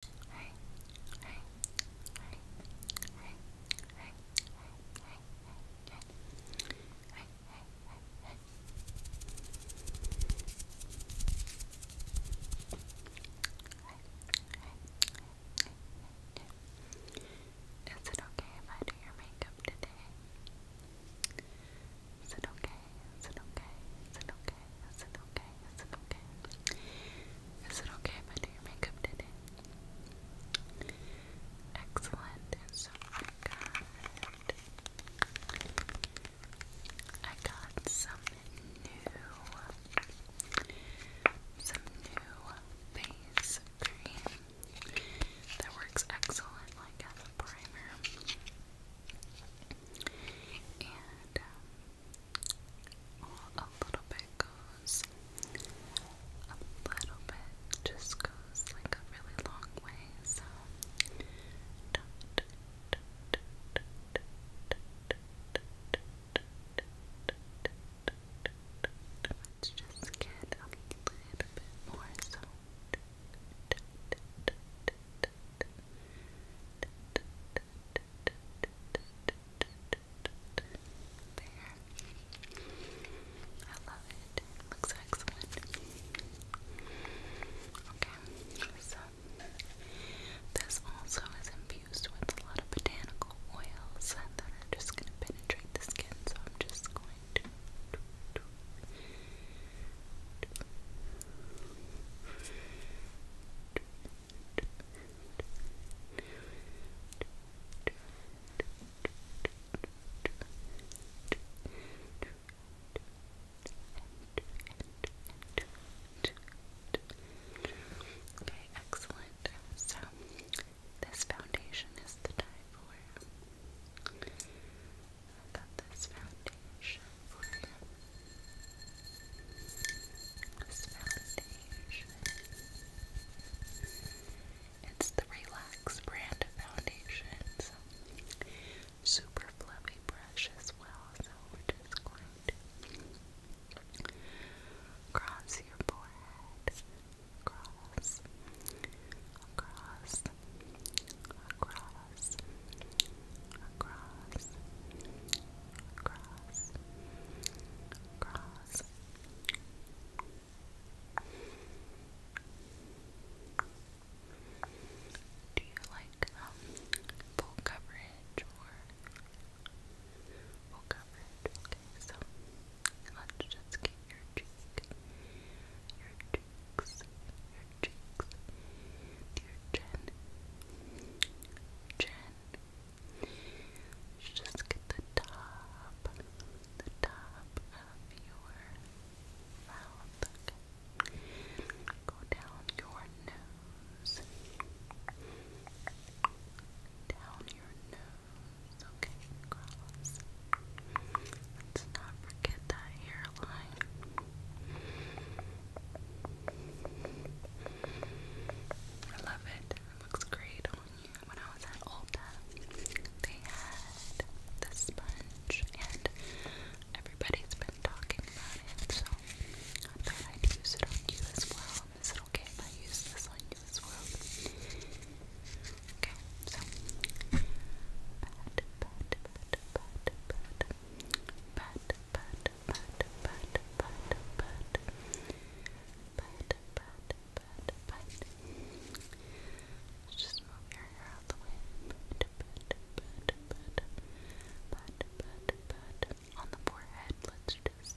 Hey, hey, Is it okay if I do your makeup today? Is it okay? Is it okay? Is it okay? okay? Is it okay? Is it okay? Is it okay I do your makeup today? Excellent. so I I got some new some new face cream that works excellent like as a primer. And um, well, a little bit goes a little bit just goes like a really long way, so don't Let's just get a little bit more so. Just there. I love it. Looks excellent. Okay, so this also is infused with a lot of botanical oils that are just going to penetrate the skin. So I'm just going to. Okay, excellent. So, this foundation is the die for. I got this foundation this foundation. It's the Relax brand foundation. super fluffy brush as well. So we're just going to cross your forehead. Across. Across. Across across, across, across. Do you like um, full coverage or full coverage? Okay, so let's just get your cheek, your cheeks, your cheeks, dear Jen. Jen. just get the top, the top of your mouth. Go down your nose. Down your nose. Okay, cross. Let's not forget that hairline. I love it. It looks great on you. When I was at Ulta, they had the sponge, and everybody's been talking about it, so I thought I'd use it on you as well. Is it okay I use this on you as well? Okay, so but, but, but, but, but, but, but, but, but. Just move your hair out the way. But, but, but, but, but, but, but. On the forehead, let's just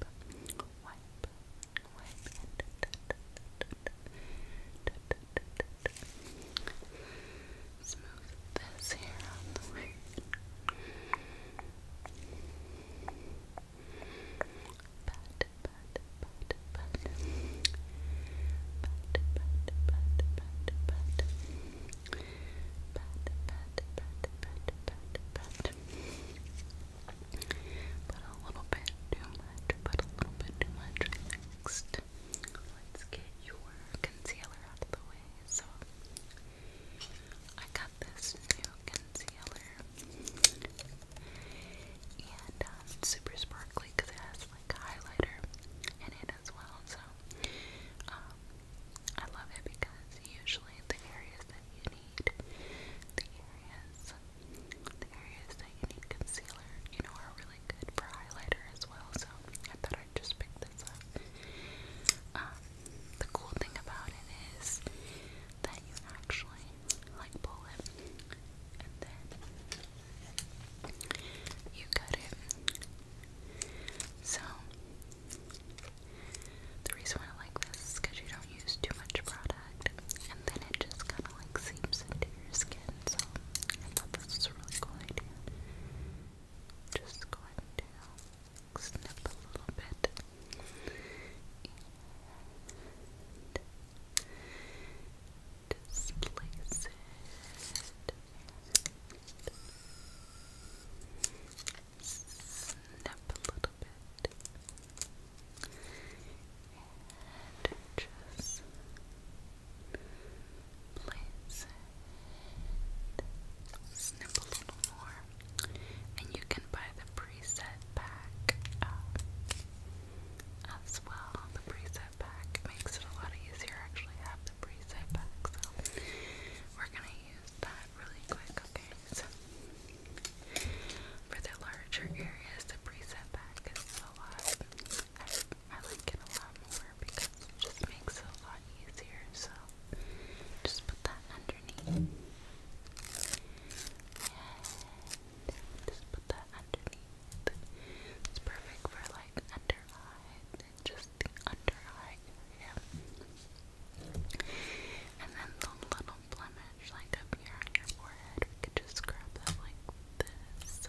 wipe, wipe, wipe, smooth this here out the way. Pat, pat, pat, pat. Pat, pat, pat, pat, pat. Pat, pat, pat, But a little bit too much, but a little bit too much. Next, let's get your concealer out of the way. So I got this new concealer, and uh, it's super sparkly because it has like highlighter in it as well. So um, I love it because usually the areas that you need, the areas, the areas that you need concealer, you know, are really good for highlighter as well. So I thought I just picked this up. Um, the cool thing about it is that you actually like pull it and then you cut it. So the reason why I like this is because you don't use too much product and then it just kind of like seeps into your skin. So I thought this was a really cool idea just going to snip a little bit displace it. Snip a little bit and just Snip a little more. And you can buy the preset pack uh, as well. The preset pack makes it a lot easier. I actually have the preset pack, so we're gonna use that really quick, okay? So for the larger areas, the preset pack is a lot. I like it a lot more because it just makes it a lot easier. So just put that underneath. just put that underneath. It's perfect for like under eyes and just under eye area. And then the little blemish like up here on your forehead, we could just grab that like this.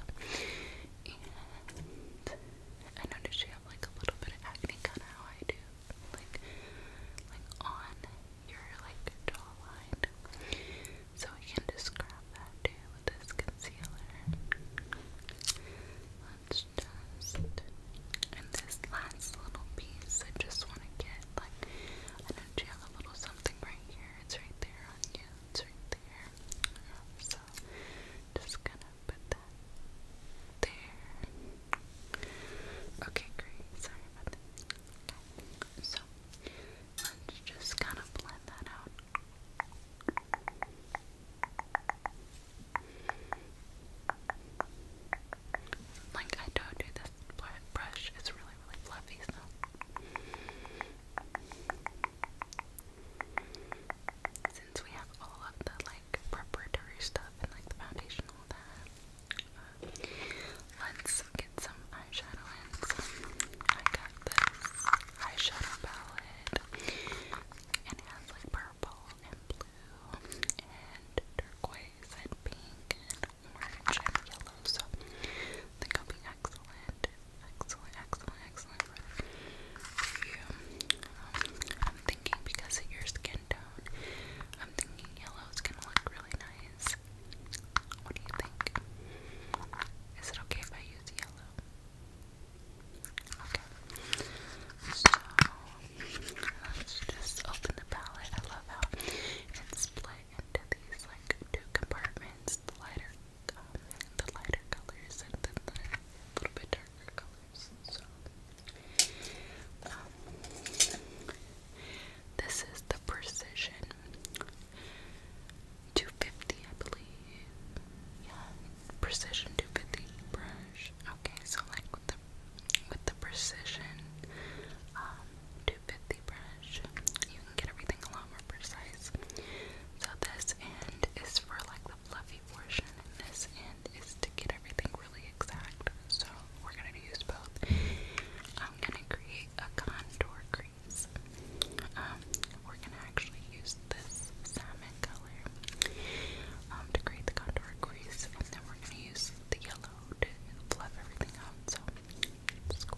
I noticed you have like a little bit of acne, kind of how I do, like, like on your like jawline. So we can just grab that with this concealer. Let's just, and this last little piece, I just want to get like, I know you have a little something right here. It's right there on you. It's right there. So just gonna gonna put that there. Okay, great. Sorry about that. So let's just kind of blend that out. Like I don't do this brush. It's really, really fluffy, so since we have all of the like preparatory stuff and like the foundation let's get some eyeshadow I got this eyeshadow palette, and it has like purple and blue and turquoise and pink and orange and yellow. So I think it'll be excellent, excellent, excellent excellent for you. Um, I'm thinking because of your skin tone, I'm thinking yellow is gonna look really nice. What do you think? Is it okay if I use yellow? Okay. So let's just open the palette. I love how it's split into these like two compartments, lighter the lighter colors and then the little bit darker colors. So, um, this is the Precision 250, I believe. Yeah, Precision 250 brush. Okay, so like with the with the Precision um, 250 brush, you can get everything a lot more precise. So this end is for like the fluff fluffy portion in this end is to get everything really exact. So we're gonna use both. I'm gonna create a contour crease. Um, we're gonna actually use this salmon color um, to create the contour crease, and then we're gonna use the yellow to fluff everything out. So just go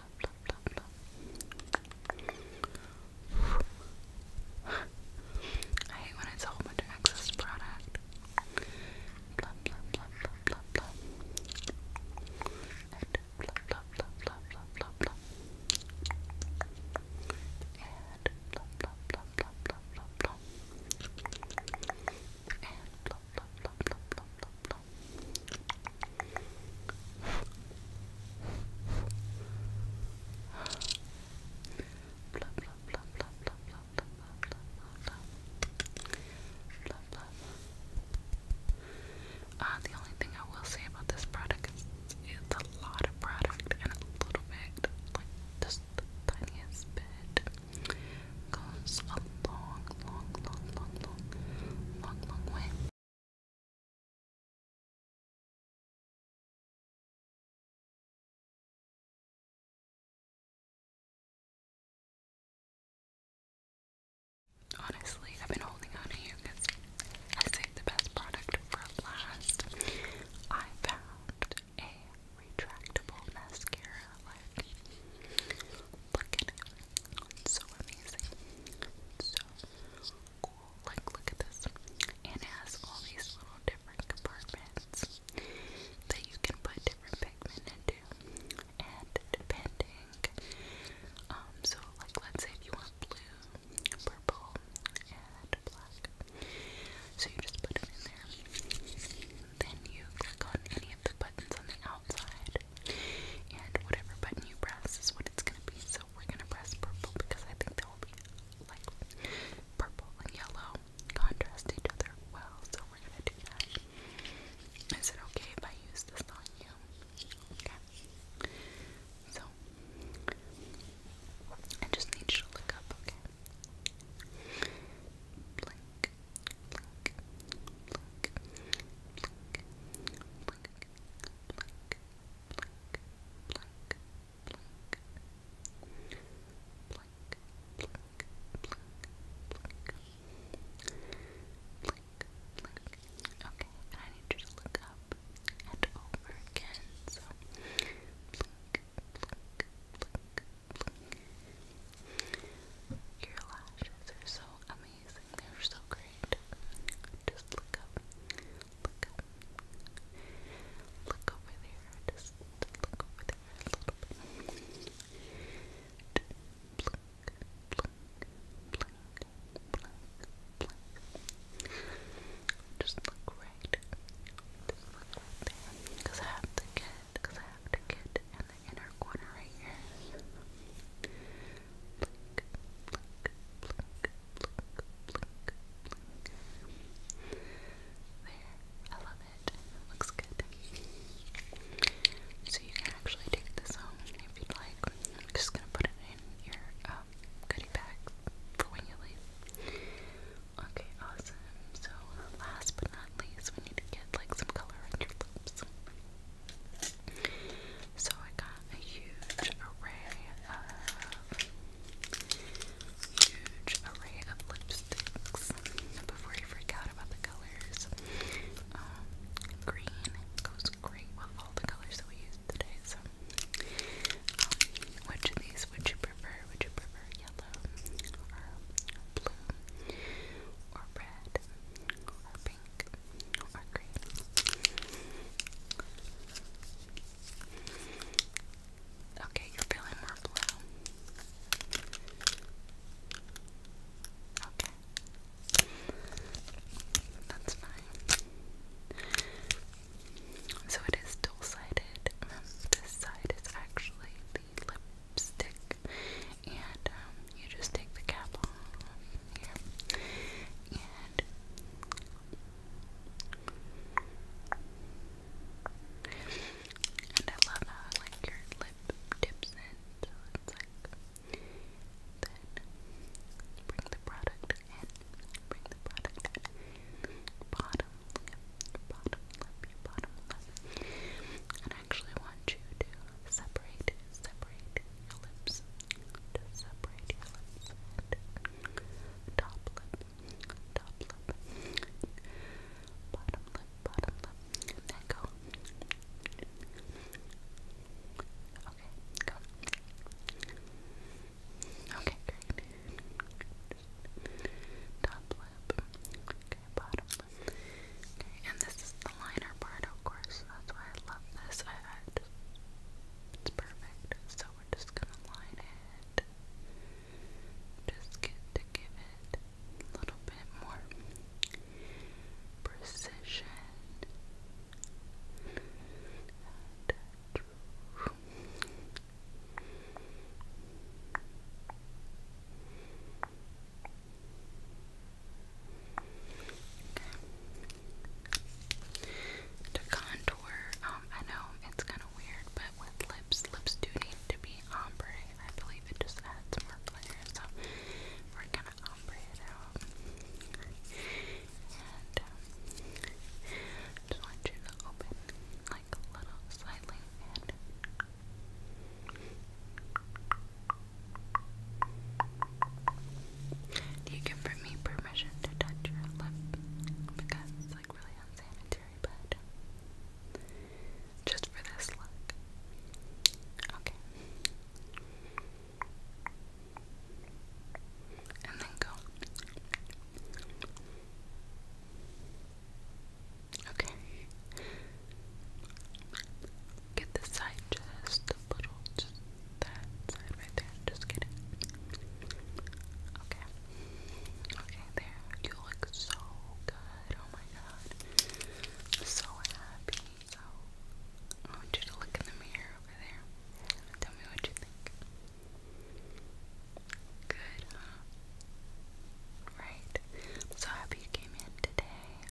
bla bla bla bla. I hate when it's a whole bunch product. Blah blah blah blah And blah blah blah blah blah And blah blah blah blah blah And blah blah blah blah purple. Blah, blah, blah, blah, blah, blah, blah, blah, blah, blah, blah. Uh, the only thing I will say about this product is it's a lot of product and a little bit, like the tiniest bit, goes a long, long, long, long, long, long, long way. Honestly, I've been holding on to you because I saved the best product for last. I found a retractable mascara. Like, Look at it. It's so amazing. It's so cool. Like, look at this. it has all these little different compartments that you can put different pigment into. And depending, um, so like, let's say if you want blue, purple, and black. So you just put them in there. Then you click on any of the buttons on the and whatever button you press is what it's gonna be. So we're gonna press purple because I think that will be like purple and yellow contrast each other well. So we're gonna do that. Is it okay if I use this on you? Okay. So I just need you to look up, okay? blink, blink, blink, blink, blink, blink, Okay, and I need you to look up and over again. So, Your lashes are so amazing amazing. They're so great. Just look up. Look up. Look over there. Just look over there look Just look right Because I have to get, because I have to get in the inner corner right here. Blink, I love it. Looks good. So you can actually take this home if you'd like. I'm just gonna put it in your um, goodie bag for when you leave. Okay, awesome. So last but not least, we need to get like some color on your lips. So I got a huge array of huge array of lipsticks before you freak out about the colors. Um, green goes great with all the colors that we used today. So, um, which of these would you prefer? Would you prefer yellow or blue or red or pink Okay, you're feeling more blue. Okay. That's fine. So it is dual sided. Um, this side is actually the lipstick, and um, you just take the cap off here, and and I love how like your lip dips in, so it's like then bring the product in, bring the product in, bottom bottom lip, your bottom lip, actually want you to separate, separate your lips. separate your lips top lip, top lip, bottom lip, bottom lip. Let go. Okay, go. Okay, great. top lip. Okay, bottom lip. Okay, and this is the liner part, of course. That's why I love this. I, I just, it's perfect. So we're just gonna line it. Just get to give it a little bit more precision. And, uh, Okay, Okay. To contour, um, I know it's kind of weird, but with lips, lips do need to be ombre. I believe it just adds more glare, so we're gonna ombre it out. Um, just want you to open like a little slightly do you give me permission to touch your lip? Because it's like really unsanitary, but just for this look. Okay. And then go. Okay. Get the side just a little, just that side right there. Just get Okay. Okay, there. You look so good. Oh my god. So happy. So I want you to look in the mirror over there. Tell me what you think. Good, Right. so happy you came in today.